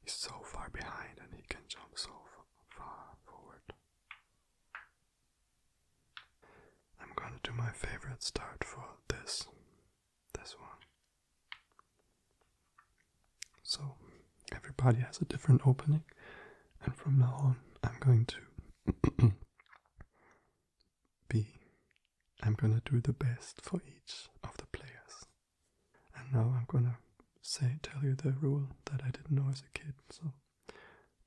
He's so far behind and he can jump so far forward. I'm gonna do my favorite start for this this one. So everybody has a different opening and from now on I'm going to be I'm gonna do the best for each of the players. And now I'm gonna say tell you the rule that I didn't know as a kid. So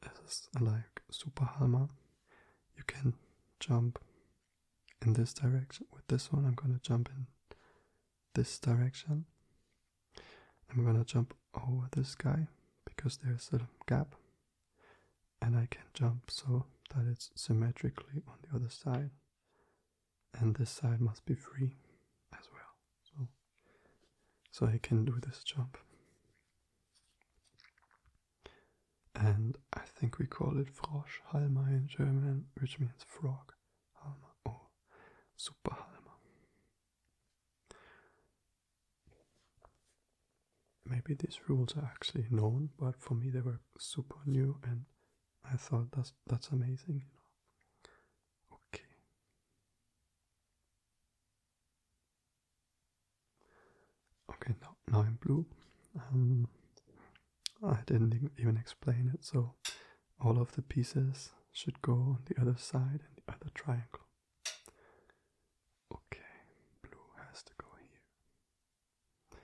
this is like super halma. You can jump in this direction. With this one I'm gonna jump in this direction. I'm gonna jump over this guy because there's a gap and I can jump so that it's symmetrically on the other side and this side must be free as well. So, so I can do this jump. And I think we call it Froschhalmer in German, which means frog halmer super superhalmer. Maybe these rules are actually known, but for me they were super new, and I thought that's that's amazing. You know? Okay. Okay, now, now in blue. Um, I didn't even explain it, so all of the pieces should go on the other side and the other triangle. Okay, blue has to go here.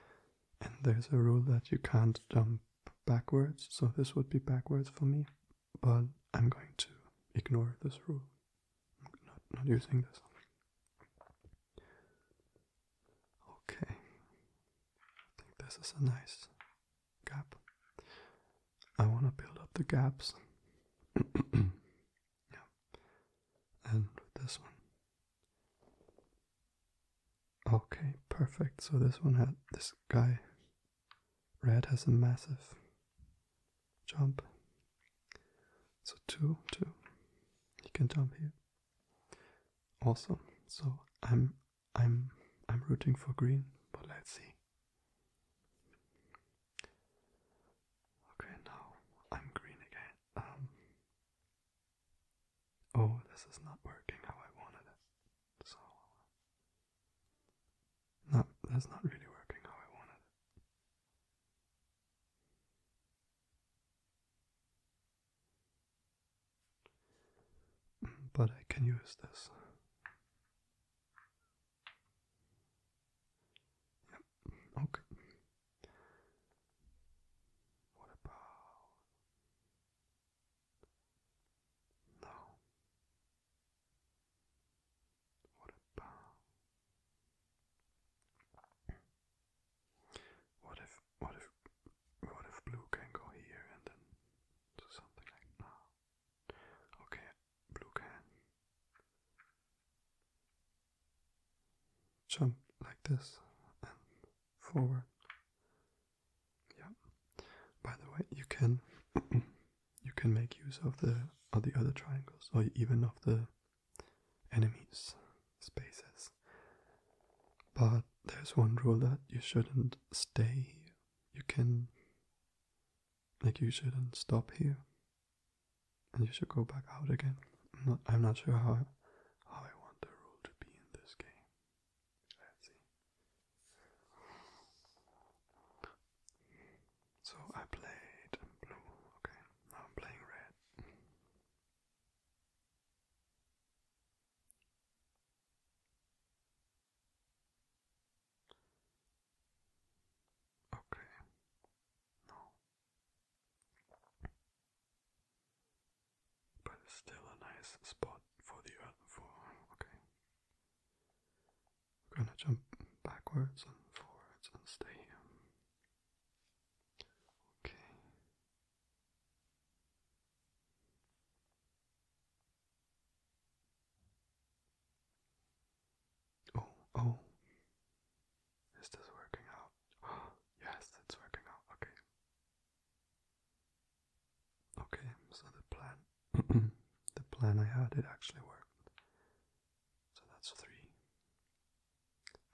And there's a rule that you can't dump backwards, so this would be backwards for me, but I'm going to ignore this rule. not, not using this. Okay, I think this is a nice gap. I want to build up the gaps. yeah, and this one. Okay, perfect. So this one had this guy. Red has a massive jump. So two, two. He can jump here. Also, so I'm I'm I'm rooting for green, but let's see. Okay, now I'm green again. Um, oh, this is not working how I wanted it. So, not, that's not really working how I wanted it. But I can use this. Yep, okay. What about now, what about what if what if what if blue can go here and then do something like now? Okay, blue can jump like this and forward yeah. By the way, you can you can make use of the of the other triangles or even of the enemies spaces. But there's one rule that you shouldn't stay. You can like you shouldn't stop here. And you should go back out again. I'm not, sure how how I want the rule to be in this game. So I played blue, okay. Now I'm playing red. Okay. No but it's still a nice spot for the earth. For okay, we're gonna jump backwards and forwards and stay here. Okay. Oh, oh. Is working out? yes, it's working out. Okay. Okay, so the plan the plan I had it actually worked. So that's three.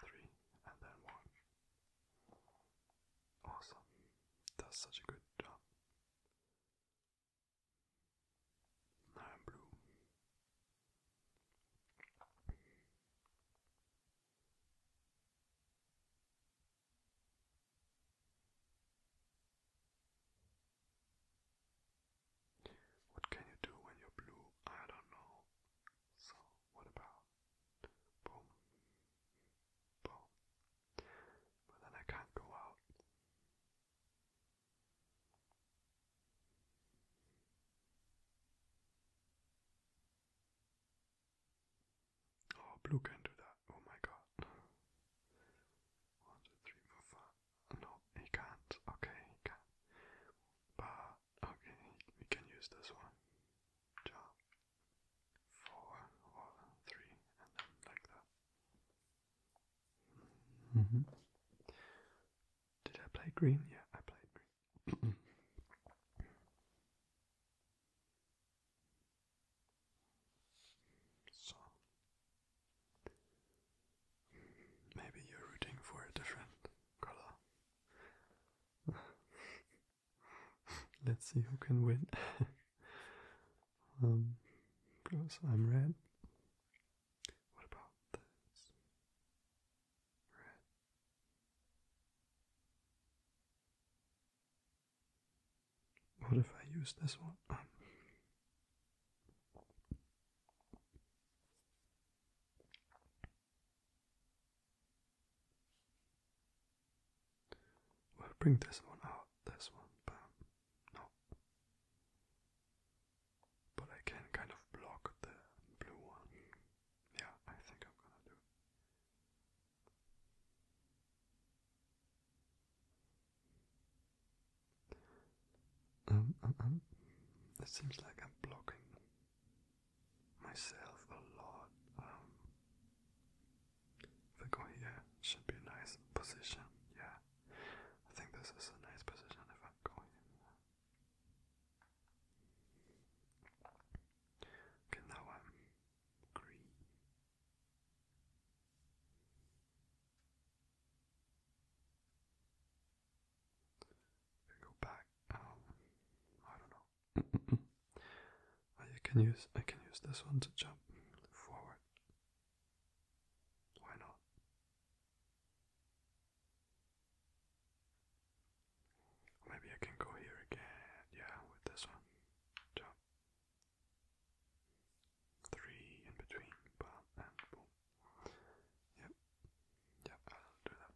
Three and then one. Awesome. That's such a good job. I'm blue. What can you do when you're blue? I don't know. So, what about? Boom. Boom. But then I can't go out. Oh, blue can do that. Oh my god. One, two, three, four, five. No, he can't. Okay, he can. But, okay, we can use this one. Jump. and then like that. Mm-hmm. Did I play green? Yeah, I played green. So maybe you're rooting for a different color. Let's see who can win. um, because I'm red. What about this? Red. What if I use this one? Um, bring this one out, this one, but no. But I can kind of block the blue one. Yeah, I think I'm gonna do um, it um, um, seems like I'm blocking myself a lot. Um, if I go here, should be a nice position. Yeah, I think this is a nice position if I go here. Okay, now I'm green go back, um, I don't know. I can use I can use this one to jump forward. Why not? Maybe I can go here again. Yeah, with this one. Jump three in between bam and boom. Yep, yep, I'll do that.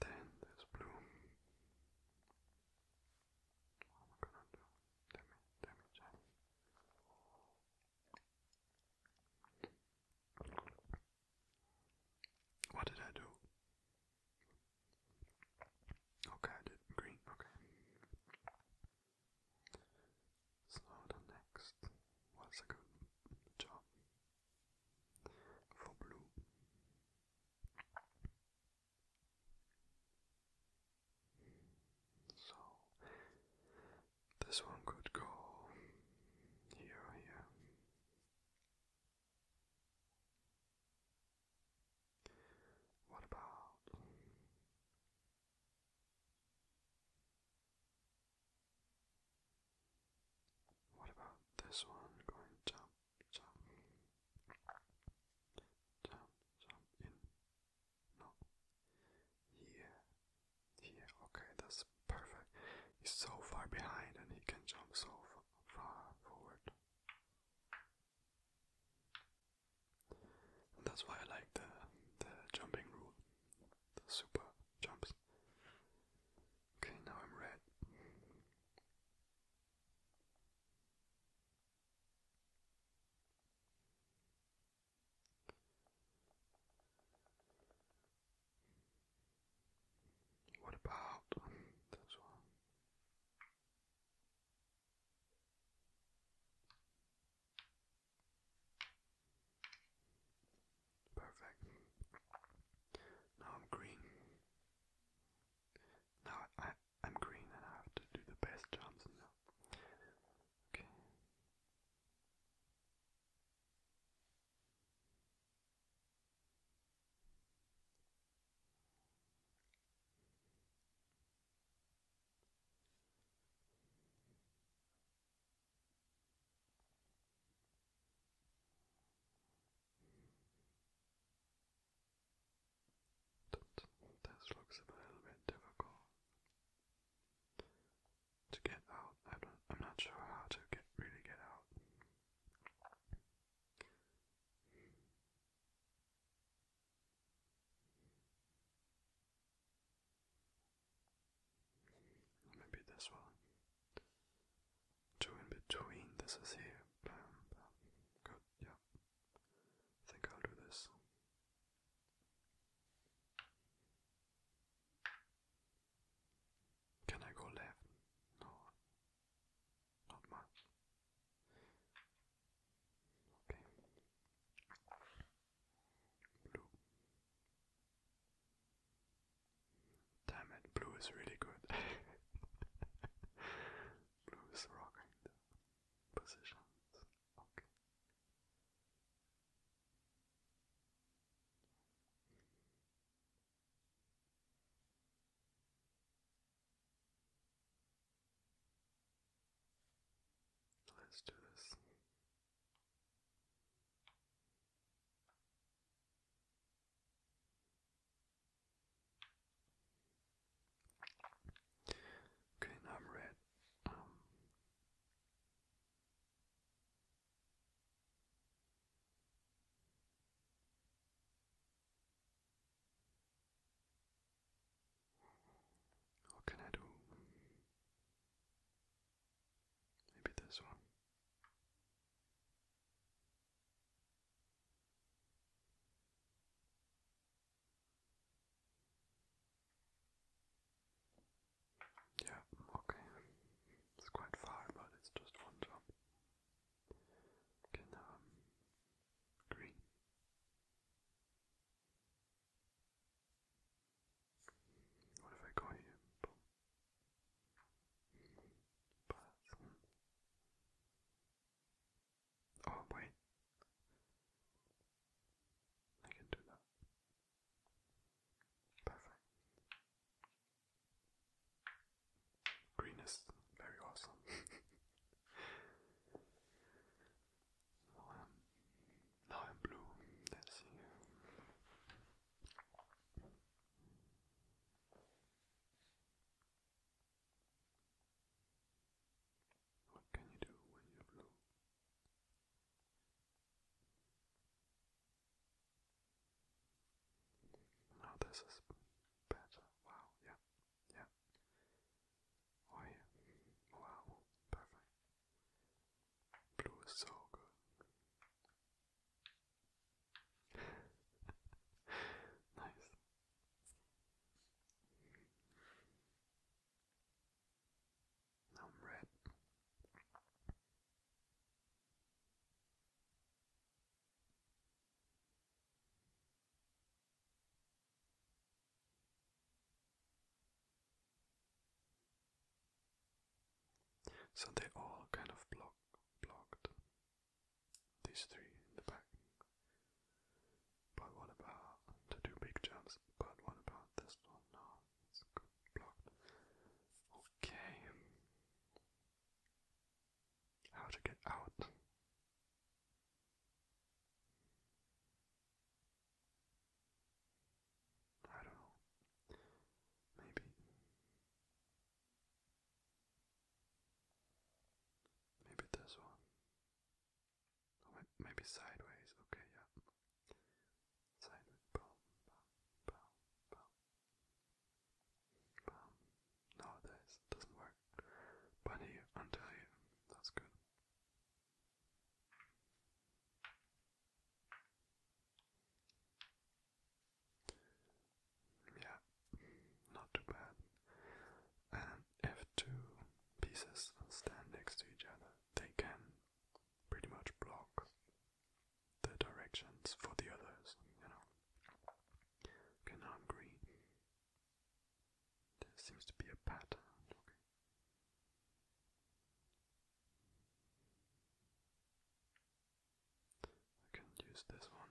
Then there's blue. What am I gonna do? Let me, let me check. What did I do? Okay, I did green. Okay. So the next was a good job for blue. So this one could go here, here. What about what about this one going jump, jump, jump, jump in? No. Here, here. Okay, that's perfect. He's so far behind, and he can jump so far forward that's why I like the the jumping rule, the super jumps. Okay, now I'm red. What about this one? Perfect. Now I'm green. Now I, I'm green and I have to do the best jumps now. Okay. That, this looks difficult to get out. I am not sure how to really get out maybe this one. Two in between, this is here. Bam, bam. Good, yeah. think I'll do this. Can I go left? No. Not much. Okay. Blue. Damn it, blue is really good. blue is rocking the positions. Okay. Let's do this. Okay, I'm red. What can I do? Maybe this one. Yeah, okay. It's quite far, but it's just one job. Can um green what if I call you Oh wait, I can do that. Perfect. Green very awesome. Now I'm, now I'm blue. Let's see. What can you do when you're blue? Now this is better. Wow, yeah. Yeah. Oh yeah. Wow. Perfect. Blue is so good. nice. Now red. So they all kind of block blocked these three in the back. But what about to do big jumps? But what about this one? No, it's blocked. Okay. How to get out? I don't know. Maybe. Maybe this one. Oh, maybe sideways. Okay, yeah. Sideways. Boom, boom, boom, boom. No, this doesn't work. But here, until here. That's good. Yeah, not too bad. And if two pieces stand next to each other, they can pretty much block the directions for the others, you know. Can harm there seems to be a pattern, okay. I can use this one,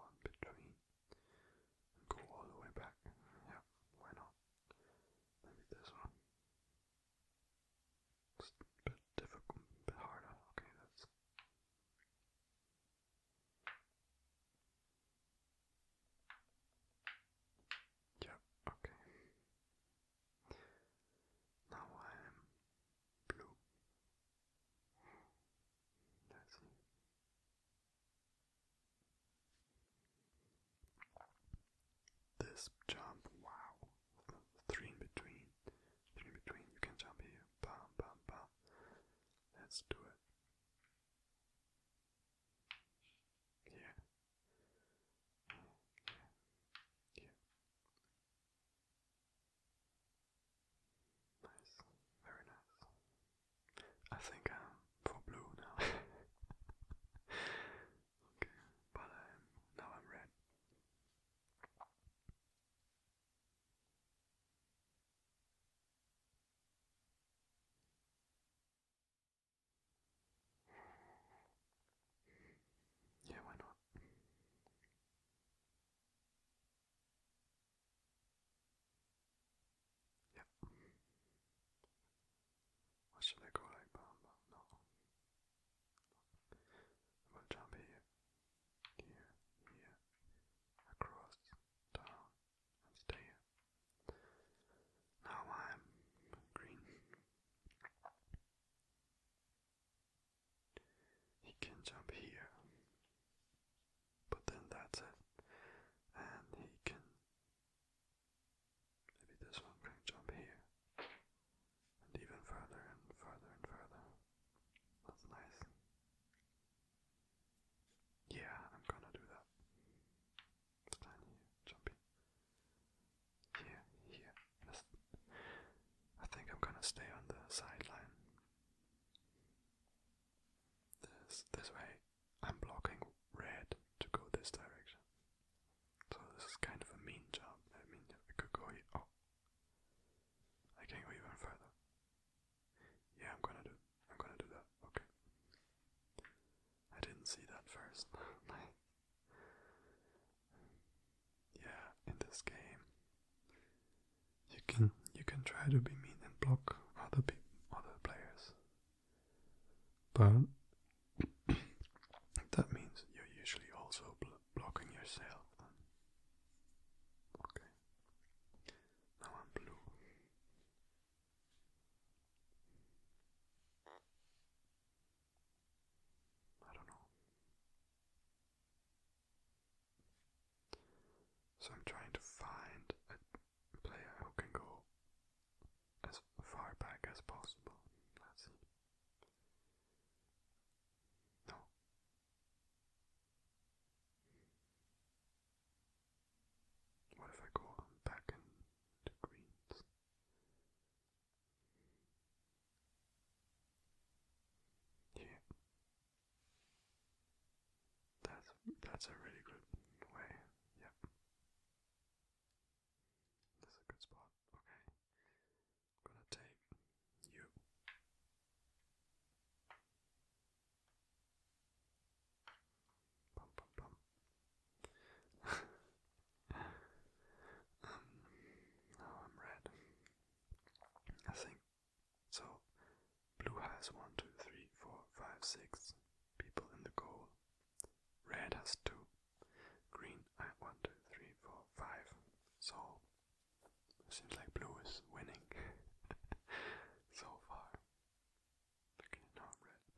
one between, go all the way back, yeah, why not, maybe this one, bit difficult, bit harder, okay, that's yeah, okay. Now I am blue. Let's see. This jump, wow. Three in between. Three in between. You can jump here. Bam bam bam. Let's do it. Yeah. Yeah. Nice. Very nice. I think I'm for blue now. okay, but now I'm red. Yeah, why not? Yep. What should I call it? Bomb? No. Well, jump here here, here, across, down, stay Now I'm green. He can jump here, but then that's it, and he can. Maybe this one can jump here, and even further and further and further. That's nice. Yeah, I'm gonna do that. Tiny jumpy. Here, here. I think I'm gonna stay on the sideline. This this way. I'm blocking red to go this direction. So this is kind of a mean job. I mean, I could go here. Oh. I can go even further. Yeah, I'm gonna do. I'm gonna do that. Okay. I didn't see that first. yeah, in this game, you can you can try to be mean and block other other players, but that means you're usually also blocking yourself. Okay. Now I'm blue. I don't know. So I'm trying to find a player who can go as far back as possible. Let's see. No, what if I go back into greens? Yeah. That's that's a really good way. Yep. That's a good spot. Okay. gonna take you. Bum, bum, bum. um, now oh, I'm red. I think so. Blue has one, two, three, four, five, six people in the goal. Red has two. Green, I one, two, three, four, five. So Seems like blue is winning so far. Okay, now I'm red.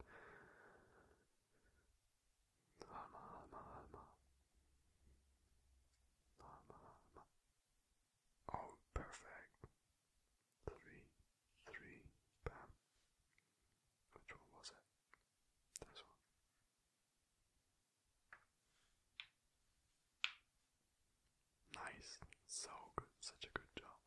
Alma, alma, alma. Alma, alma. Oh, perfect. Three, three, bam. Which one was it? This one. Nice. So good. Such a good job.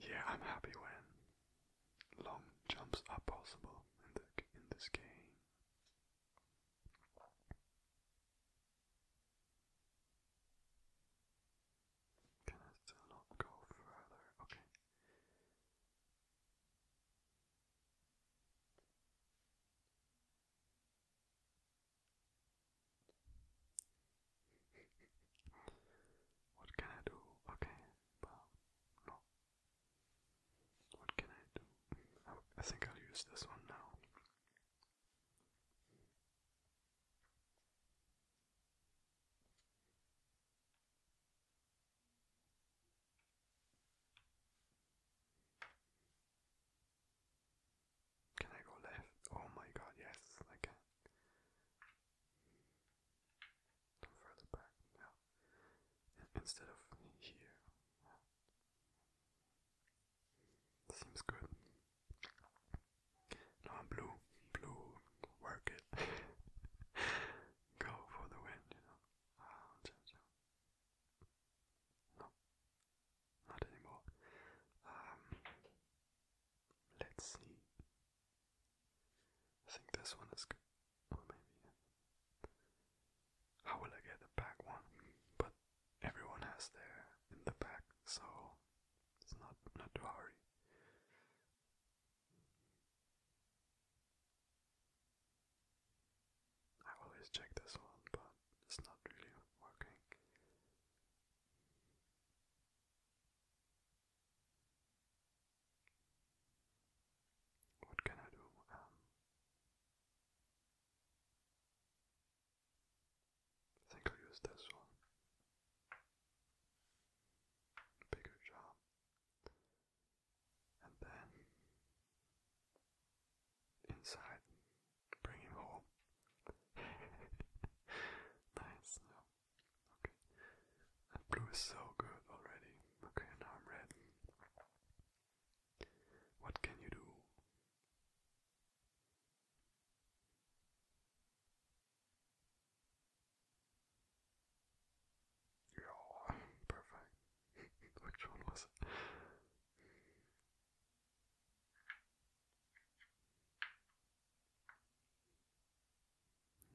Yeah, I'm happy when long jumps are possible in the in this game. Can I still not go further? Okay. What can I do? Okay, well, no. What can I do? I, think I'll use this one now. Can I go left? Oh my god, yes, I can. further back, yeah. Instead of here. Seems good. No, I'm blue. Blue, work it. Go for the win, you know. Ah, not anymore. Um, let's see. I think this one is good. Or maybe. How will I get the back one? But everyone has their in the back, so it's not not to hurry. I always check this one, but it's not really working. What can I do? Um, I think i use this one. Bigger job. And then inside. Bring home. nice. No. Okay. That blue so good already. Okay, now I'm red. What can you do? Yeah, perfect. Which one was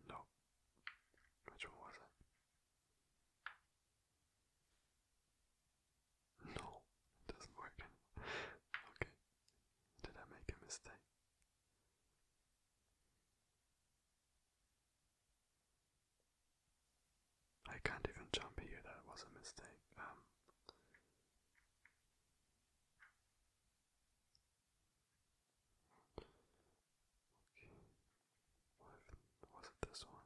no. Which one was it? No, it doesn't work. okay. Did I make a mistake? I can't even jump here, that was a mistake. Um. okay. was it this one?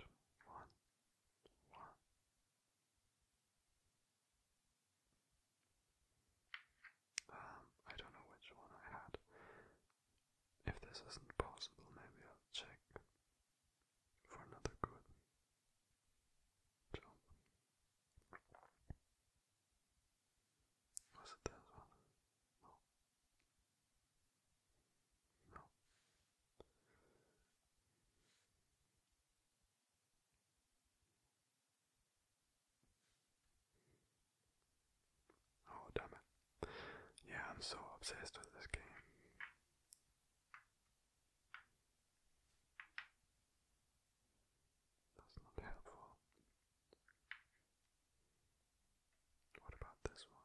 Two, one, one. Um, I don't know which one I had. If this isn't possible, maybe I'll check for another good jump. Was it this one? No. No. Oh, damn it. Yeah, I'm so obsessed with this game. That's not helpful. What about this one?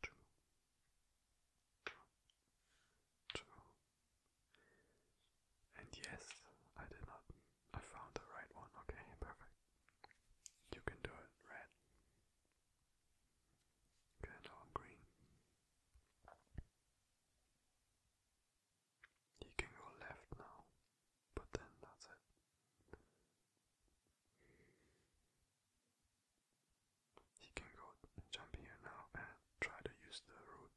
Two, two, two. And yes, I did not. I found the right one. Okay, perfect. You can do it, red kind of hungry. He can go left now, but then that's it. He can go jump here now and try to use the road,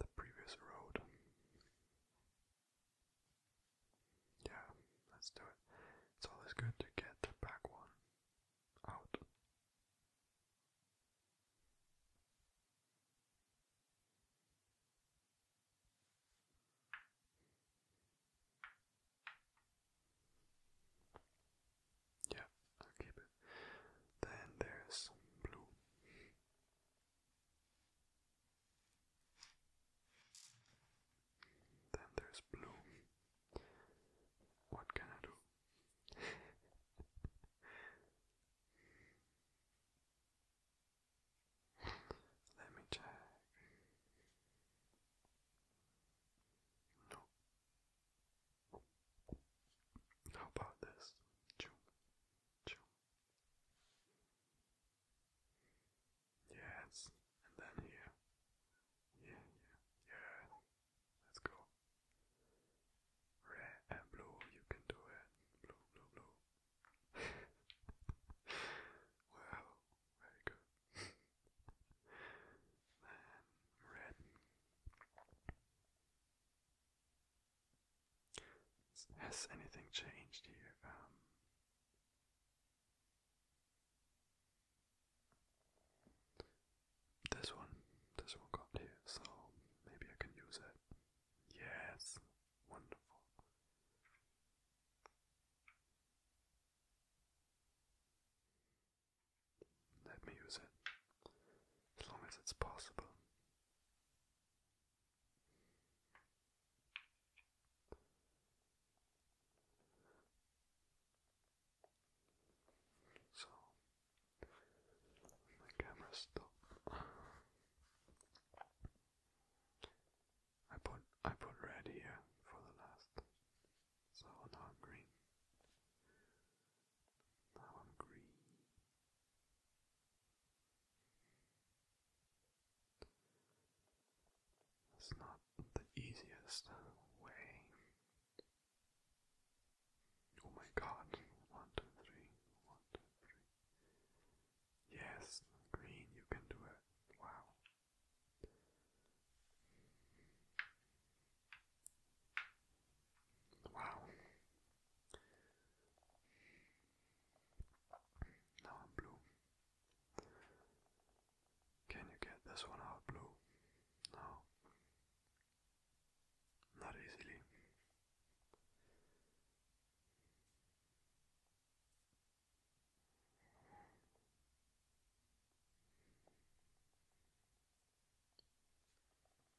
the previous road. Yeah, let's do it. It's always good to get the back one out. Yeah, I'll keep it. Then there's blue. Then there's blue. What can I do? Let me check. No. How about this? Yes. And then here. Yeah, yeah, yeah. Let's go. Red and blue, you can do it. Blue, blue, blue. wow, very good. then red. Has anything changed here? Um, this one, this one got here, so maybe I can use it. Yes, wonderful. Let me use it, as long as it's possible. So my camera stopped. I put I put red here for the last. So now I'm green. Now I'm green. That's not the easiest way. Oh my god. One, two, three. One, two, three. Yes, green, you can do it. Wow. Wow. Now blue. Can you get this one out blue? No. Not easily.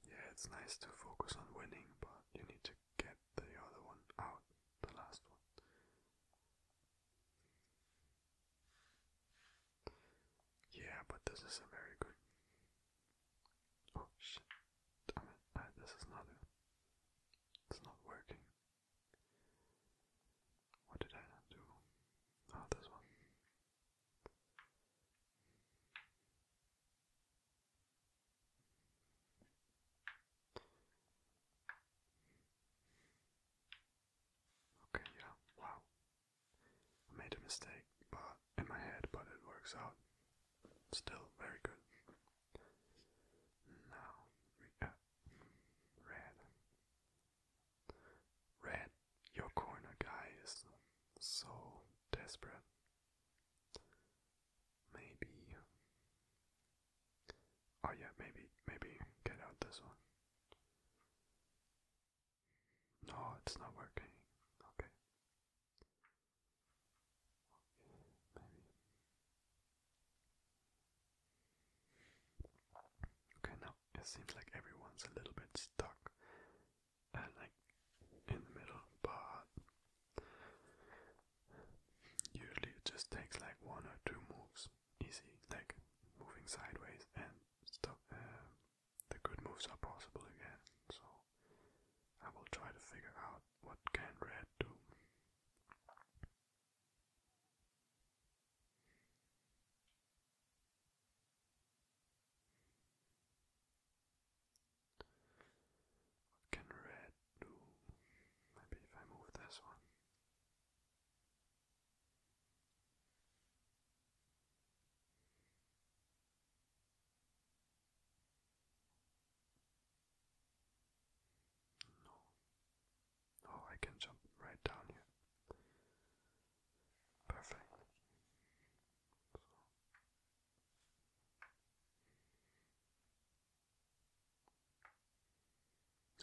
Yeah, it's nice to focus on winning, but you need to get the other one out, the last one. Yeah, but this is a very good. Oh shit! I mean, uh, this is not. A, uh, it's not working. What did I do? Oh, this one. Okay, yeah, wow. I made a mistake, but in my head, but it works out. Still very good. Now red. Red, your corner guy so desperate. Maybe Oh yeah, maybe maybe get out this one. No, it's not working. Okay. Maybe. Okay, now it seems like everyone's a little bit stuck and uh, like in the middle, but usually it just takes like one or two moves easy, like moving sideways and stop. Um, the good moves are possible again, so I will try to figure out what can red do. What can red do? Maybe if I move this one. No. Oh, I can jump right down here. Perfect. So.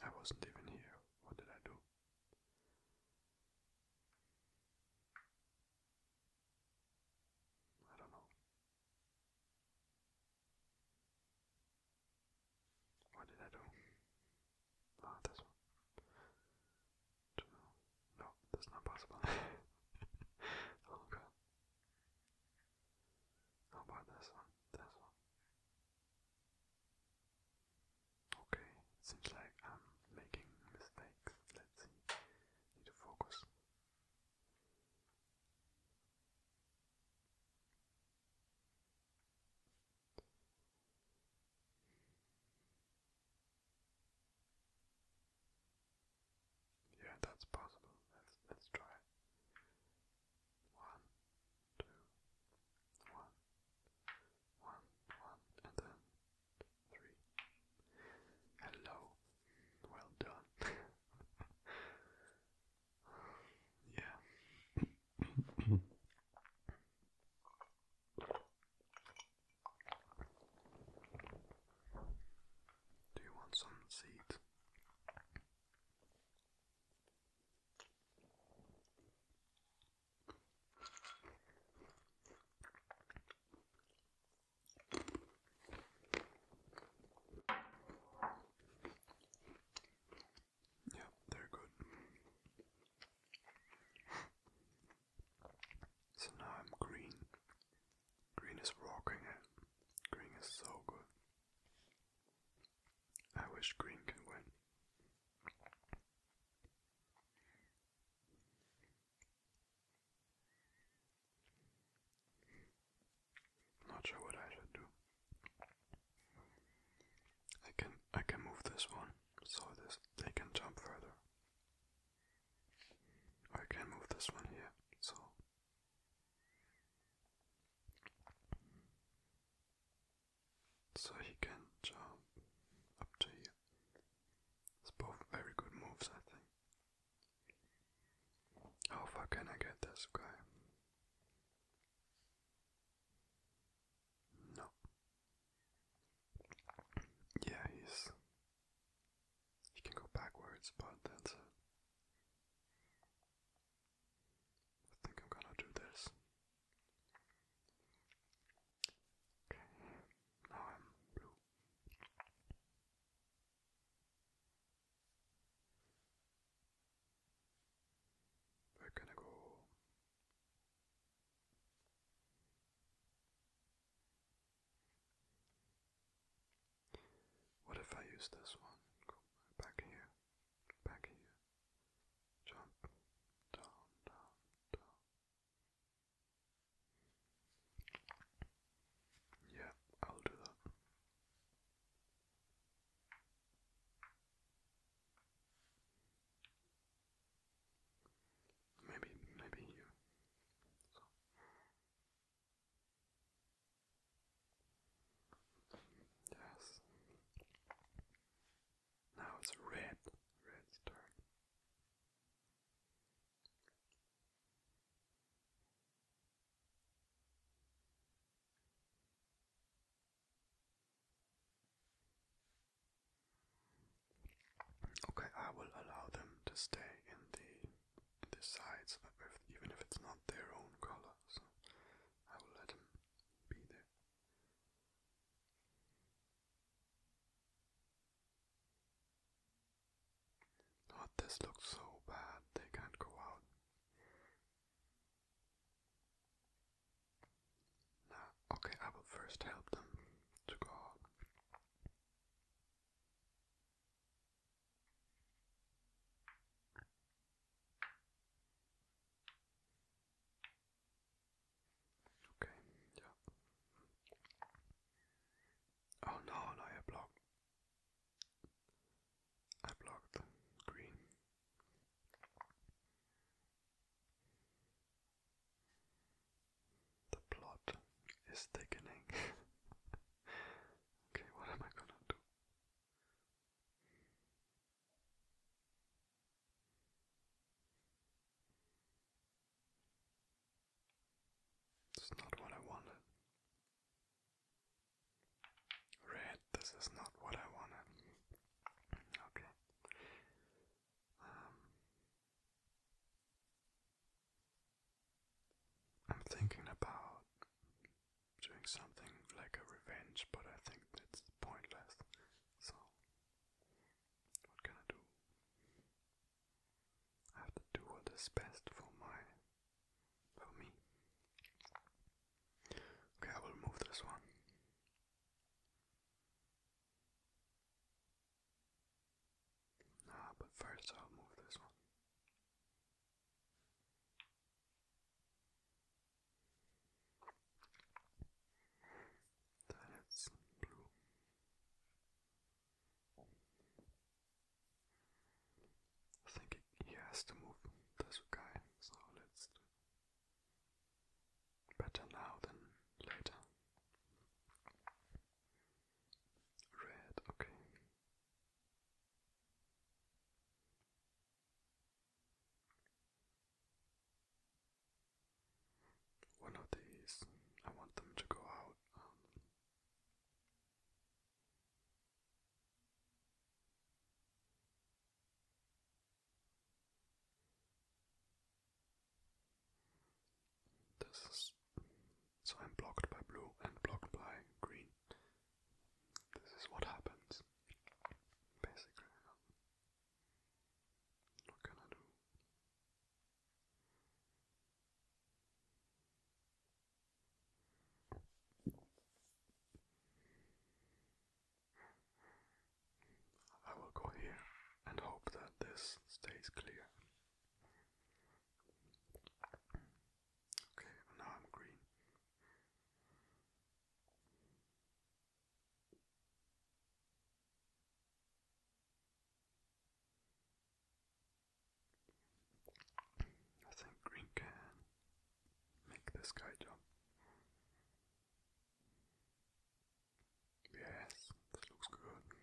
I wasn't even here. What did I do? I don't know. What did I do? Ah, this one. No, that's not possible. oh How about this one? This one. Okay, seems like I'm making mistakes. Let's see. Need to focus. Yeah, that's possible. Let's let's try one, two, one, one, one, and then three. Hello, well done. yeah. Do you want some seeds? Yeah, they're good. So now I'm green. Green is rocking it. Green is so good. I wish green can win. Not sure what I should do. I can I can move this one so this they can jump further. I can move this one here, so so he can jump up to you. It's both very good moves, I think. How far can I get this guy? No. Yeah, he's. He can go backwards, but that's I think I'm gonna do this. Okay, now I'm blue. Where can I go? What if I use this one? Go back here, back here jump down, down, down. Yeah, I'll do that. Maybe, maybe here. Yes. Now it's red, red's turn. Okay, I will allow them to stay in the the sides, if, even if it's not their own color. So I will let them be there. Oh, this looks so bad, they can't go out. Nah, okay, I will first help them to go out. Okay, yeah. Oh no, no, I blocked. I blocked green. The plot is thickening. okay, what am I gonna do? It's not what I wanted. Red, this is not what I wanted. Okay. Um, I'm thinking about doing something like a revenge, but I think it's pointless. So, what can I do? I have to do what is best for my, for me. Okay, I will move this one. Ah, but first I'll move this one that it's blue. I think he has to move this guy, so let's better now than later. Red, okay. One of these, I want them to go out. this is so I'm blocked by blue and blocked by green. This is what happens, basically. What can I do? I will go here and hope that this stays clear. Okay, now I'm green. I think green can make this guy jump. Yes, this looks good.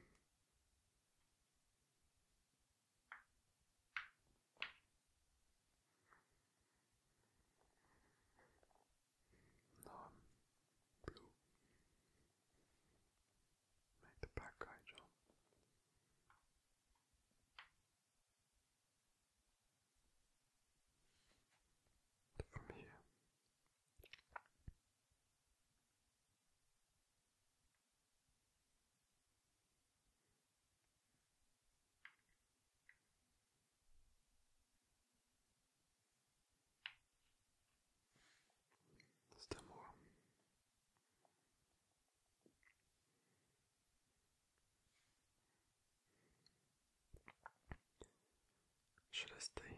No blue. Make the black From here. Still more. Should I stay here?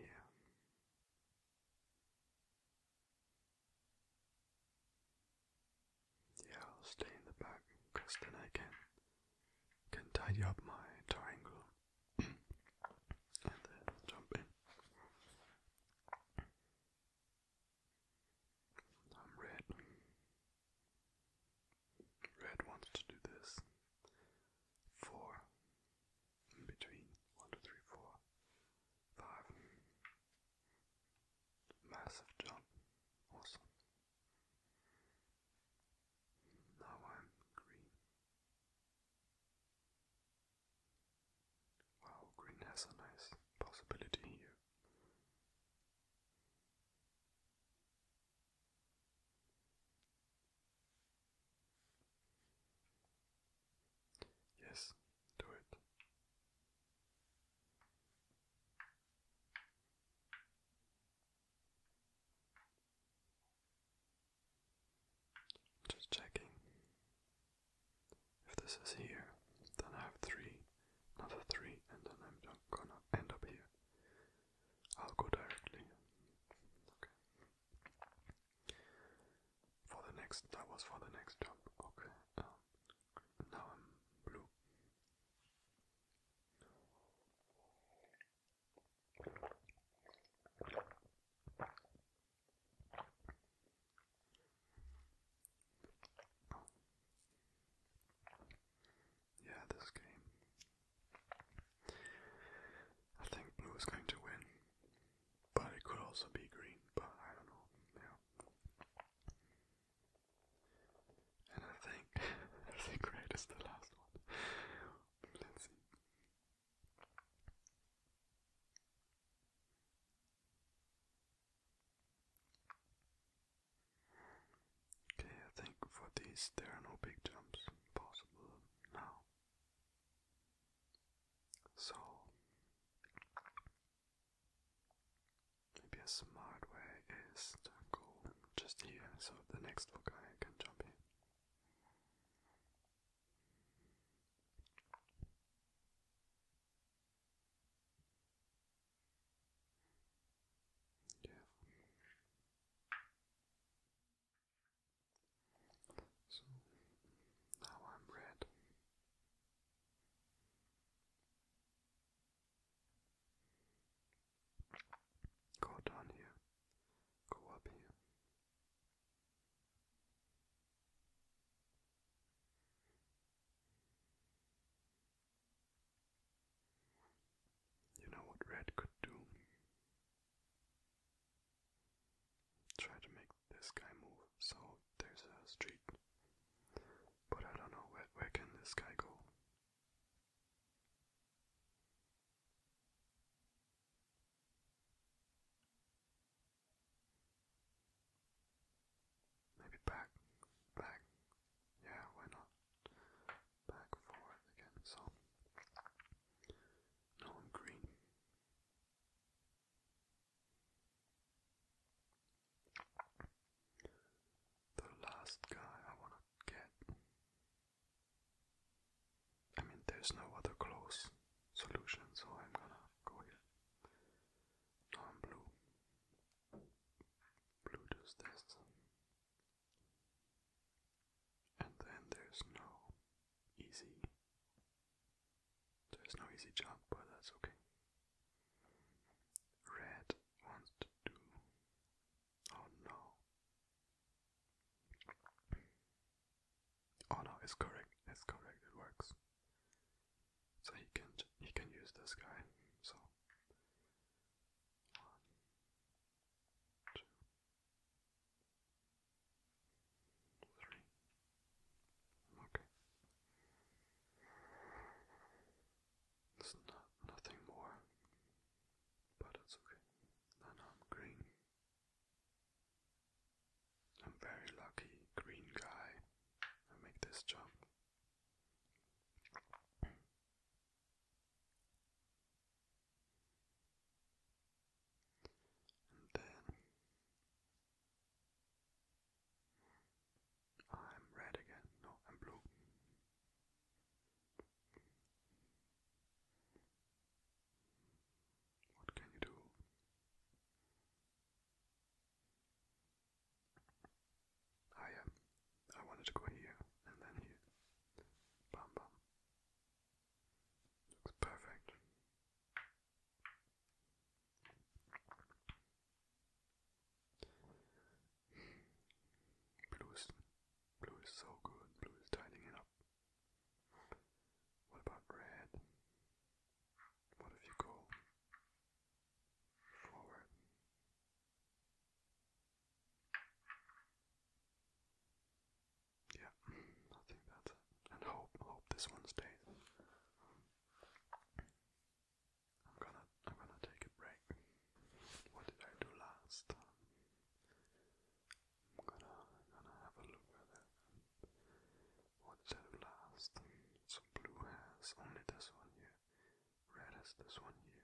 Yeah, I'll stay in the back because I can can tidy up my triangle and then jump in. I'm red. Red wants to do this. Four in between. One, two, three, four, five. Massive jump. Awesome. Now I'm green. Wow, green has a nice possibility here. Yes, do it. Just checking. If this is here, then I have three, another three, and then I'm gonna end up here. I'll go directly. Okay. For the next, that was for the next jump. Okay. Um, now I'm blue. Yeah, this game. I think blue is going to win, but it could also be green, but I don't know. Yeah. And I think I think red is the last one. Okay, I think for these there are no big jumps possible now. So, maybe a smart way is to go just here so the next guy can jump in. Yeah. So now I'm red. Go down here. Go up here. You know what red could do? Try to make this guy move. So there's a street. But I don't know where can this guy go? Maybe back, back, yeah, why not? Back forward again, so no I'm green. The last guy I wanna get I mean, there's no other close solution, so I'm gonna go here. No, I'm blue. Blue does this. And then there's no easy. There's no easy jump, but that's okay. Red wants to Oh no. Oh no, it's correct. It's correct. It works. So he can he can use this guy. So one, two, three. Okay. There's not nothing more but that's okay. No, I'm green. I'm very lucky, green guy. I make this jump. And then I'm red again. No, I'm blue. What can you do? I am. Um, I wanted to go here and then here. Bam bam. Looks perfect. Blue is blue is so good. Blue is tidying it up. What about red? What if you go forward? Yeah, I think And hope, hope this one stays. I'm gonna, I'm gonna take a break. What did I do last? I'm gonna, gonna have a look at it. What said last? So blue has only this one here. Red has this one here.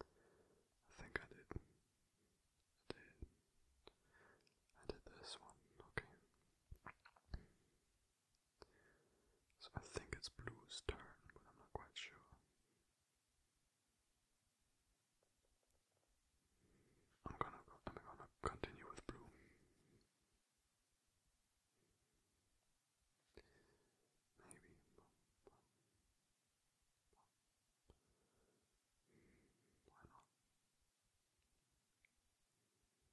I think I did. I did. I did this one. Okay. So I think it's blue's turn, but I'm not quite sure. I'm gonna I'm gonna continue with blue. Maybe. Why not?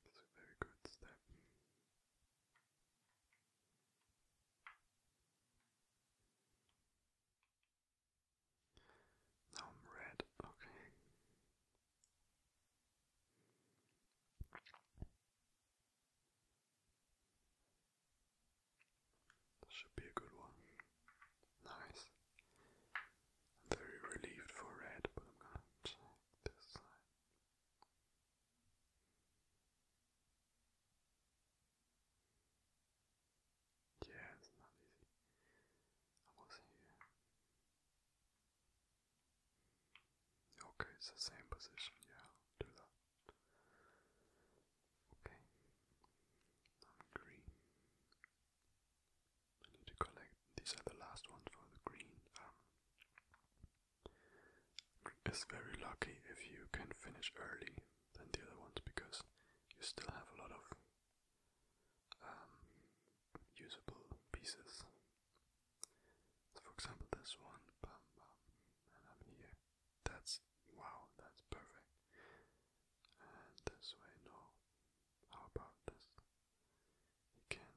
It's a very good step. Now I'm red, okay. should be a good one. Nice. very relieved for red, but I'm gonna check this side. Yeah, it's not easy. Almost here. Okay, it's the same position. Yeah, do that. Okay. I'm green. I need to collect. These are the last ones for the green. Um, it's very lucky if you can finish early than the other ones because you still have a lot of um, usable pieces. for example, this one, bam, bam, and I'm here. That's wow, that's perfect. And this way, no. How about this? You can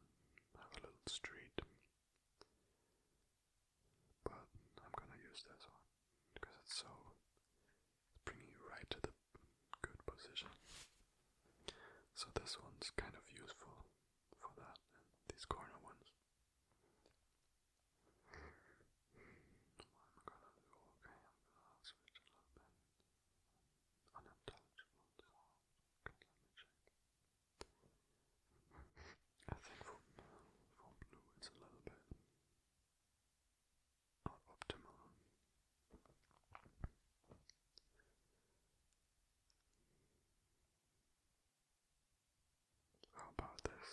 have a little street, but I'm gonna use this one because it's so bringing you right to the good position. So this one's kind of useful for that, these corner ones. I'm gonna do okay, I'm gonna switch a little bit. Unintelligible Okay, let me check. I think for, for blue it's a little bit are optimal. How about this?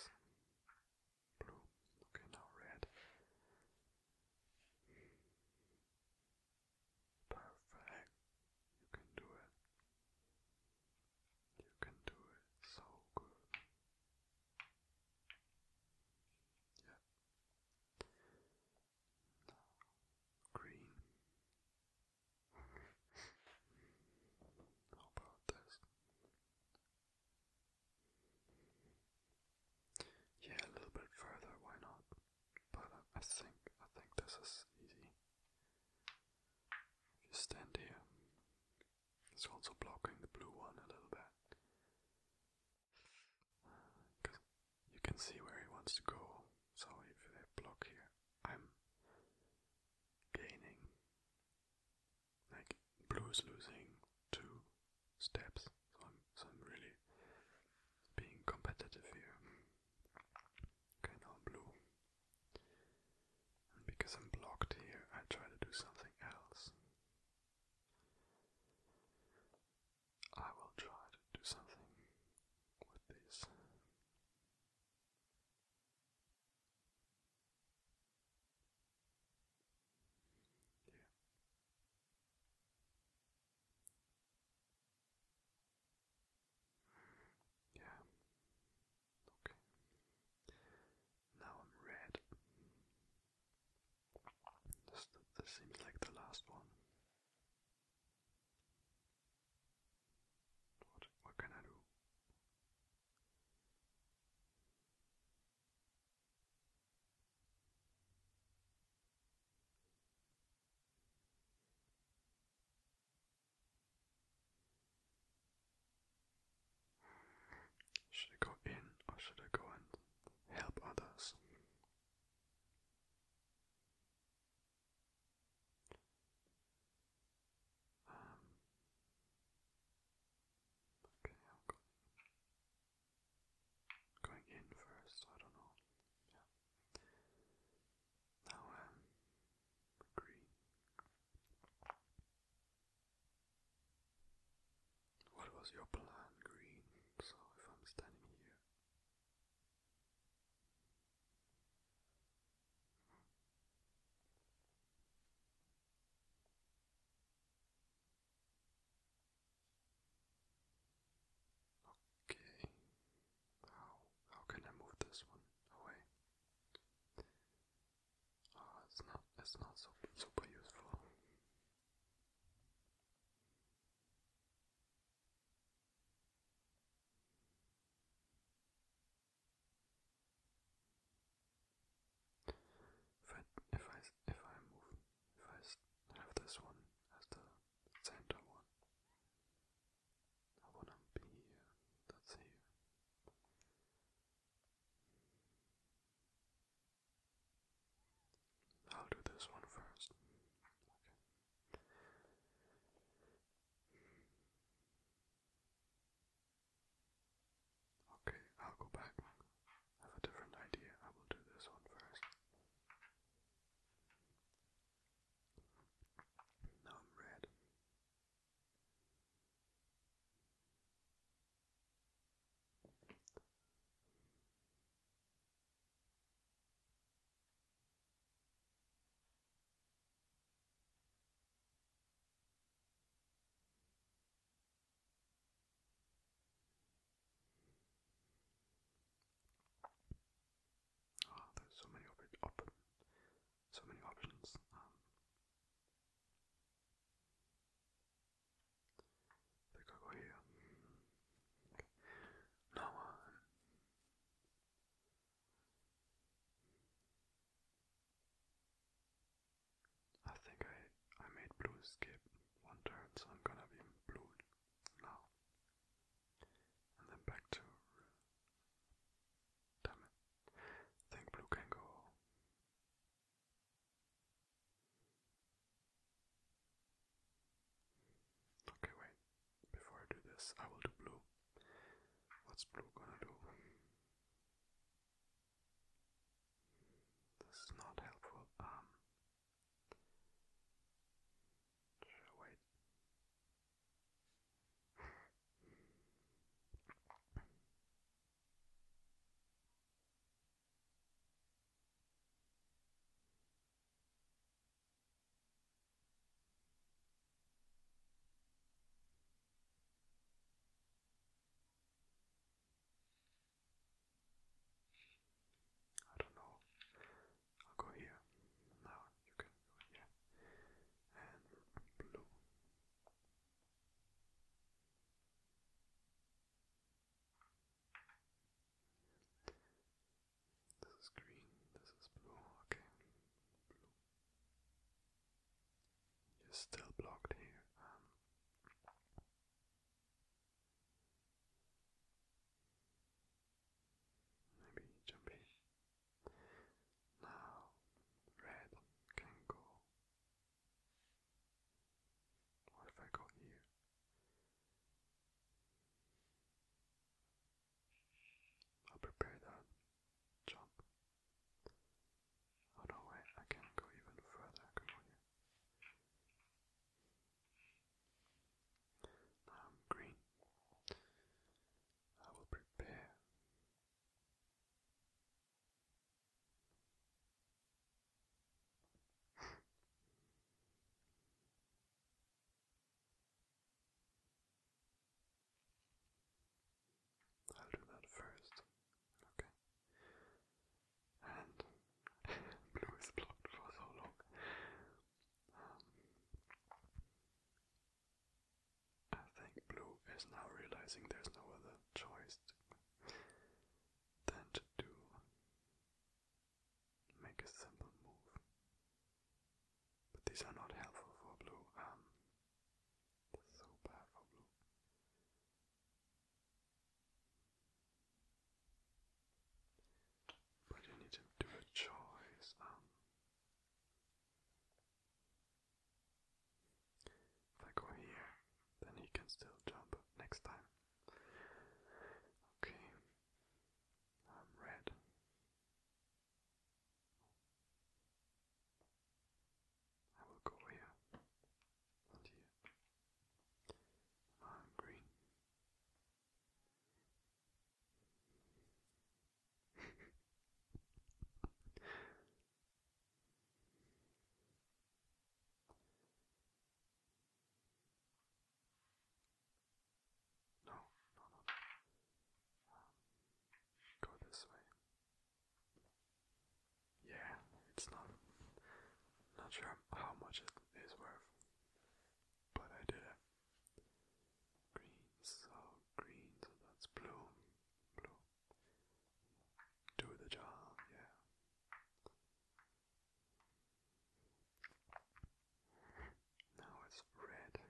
Blue. Okay, now red. Perfect. You can do it. You can do it so good. Yep. Green. How about this? Yeah, a little bit further, why not? But I think I think this is easy. you stand here, it's also blocking the blue one a little bit. Because you can see where he wants to go. So if they block here, I'm gaining. Like, blue is losing two steps. So I'm, so I'm really being competitive here. Okay, now blue. because I'm blocked here, I try to do something else. I will try to do something with this. Yeah. Yeah. Okay. Now I'm red. This, seems like the last one. what can I do? Should I go in or should I go and help others? Um, okay, I'm going, in first, I don't know. Yeah. Now, um, green. What was your plan, Green? So if I'm standing here. Okay. How how can I move this one away? it's not it's not so super useful. If I if I move if I have this one as the center one, I wanna be That's here. I'll do this one first. Okay. Okay, I'll go back. have a different idea. I will do this one first. Now I'm red. Oh, there's so many op so many options. Um, I think go here. No I think I I made blue skip one turn, so I'm gonna be blue now. And then back to damn it. think blue can go Okay, wait. Before I do this, I will do blue. What's blue gonna do? This is not helpful. Um, wait. I don't know. I'll go here. Now you can go here. And blue. This is green, this is blue, okay. You're still blocked here. Um, maybe jump in. Now, red can go what have I got here? I'll prepare that jump. Oh I can go even further. I'm green. I will prepare I'll do that first. Okay. And blue is blocked for so long. Um, I think blue is now realizing there's no other choice than to make a simple move. But these are not helpful for blue. Um, so bad for blue. But you need to do a choice. Um, if I go here, then he can still jump next time. Okay, I'm red. I will go here here. I'm green. No, no, no. Um, go this way. Yeah, it's not. Not sure how much it is worth, but I did it. Green, so green, so that's blue, blue do the job, yeah. Now it's red. I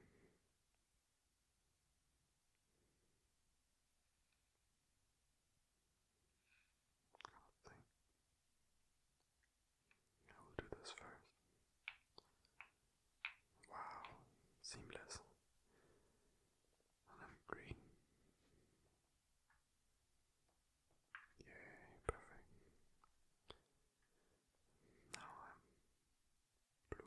think I will do this first. Wow, seamless. And then green. Yay, perfect. Now I'm blue. It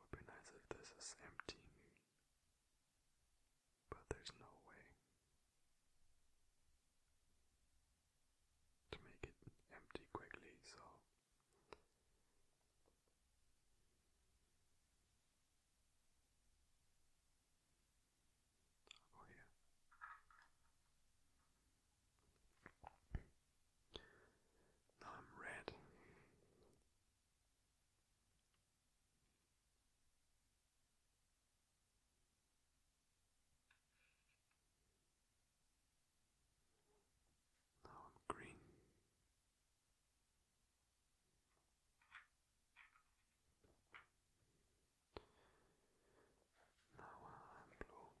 would be nice if this is empty, but there's no way to make it empty quickly, so I'll oh, go Now I'm red. Now I'm green. Now I'm blue.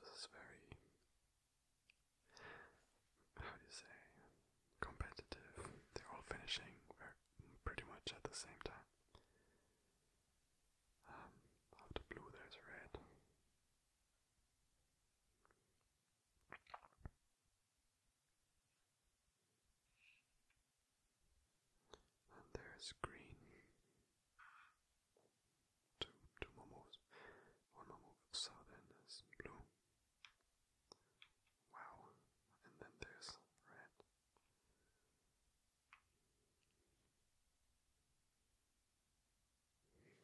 This is very how do you say, competitive. They're all finishing pretty much at the same time. after um, blue, there's red. And there's green. Two, two moves. One move. So then there's blue. Wow, and then there's red.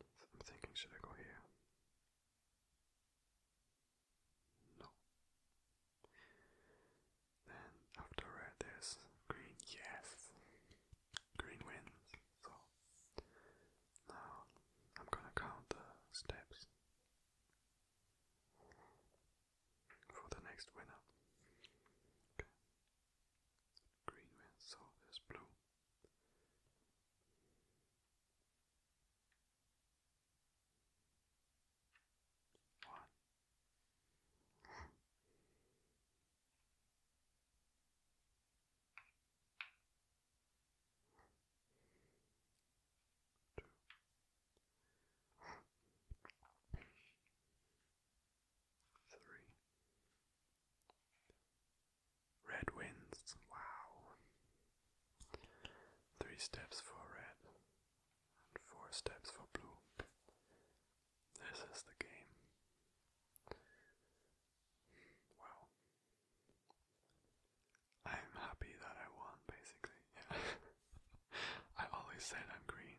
So I'm thinking, should I go here? No. Then after red, there's green. Yes, green wins. So now I'm gonna count the steps for the next winner. Okay. Green wins, so there's blue. One two, three. Red wins. Wow. Three steps for red and four steps for blue. This is the game. Wow. I'm happy that I won, basically. Yeah. I always said I'm green.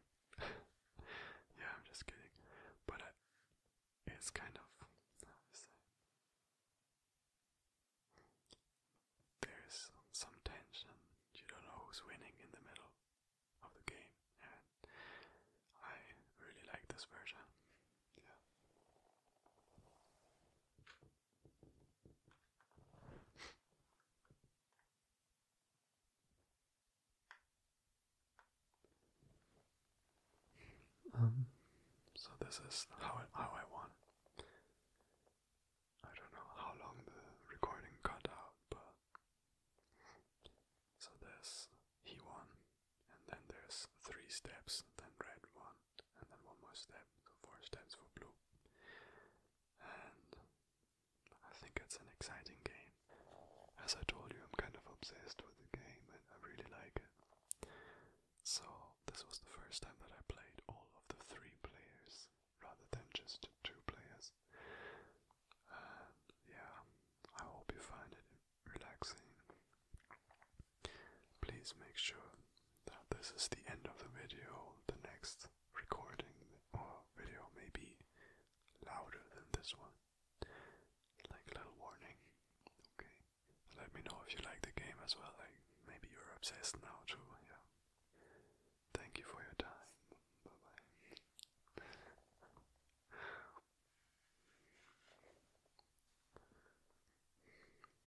yeah, I'm just kidding. But it's kind of There's some, some tension. You don't know who's winning in the middle of the game, and I really like this version. Yeah. Um, so this is how how I want. I don't know how long the recording cut out, but so there's he won, and then there's three steps, then red one, and then one more step, so four steps for blue. And I think it's an exciting game. As I told you, I'm kind of obsessed with the game and I really like it. So, this was the first time that I played all of the three players rather than just two players. yeah, I hope you find it relaxing. Please make sure that this is the end of the video. The next recording or video may be louder than this one. Like a little warning. Okay. Let me know if you like the game as well. Like maybe you're obsessed now too. Yeah. Thank you for your time. Bye bye.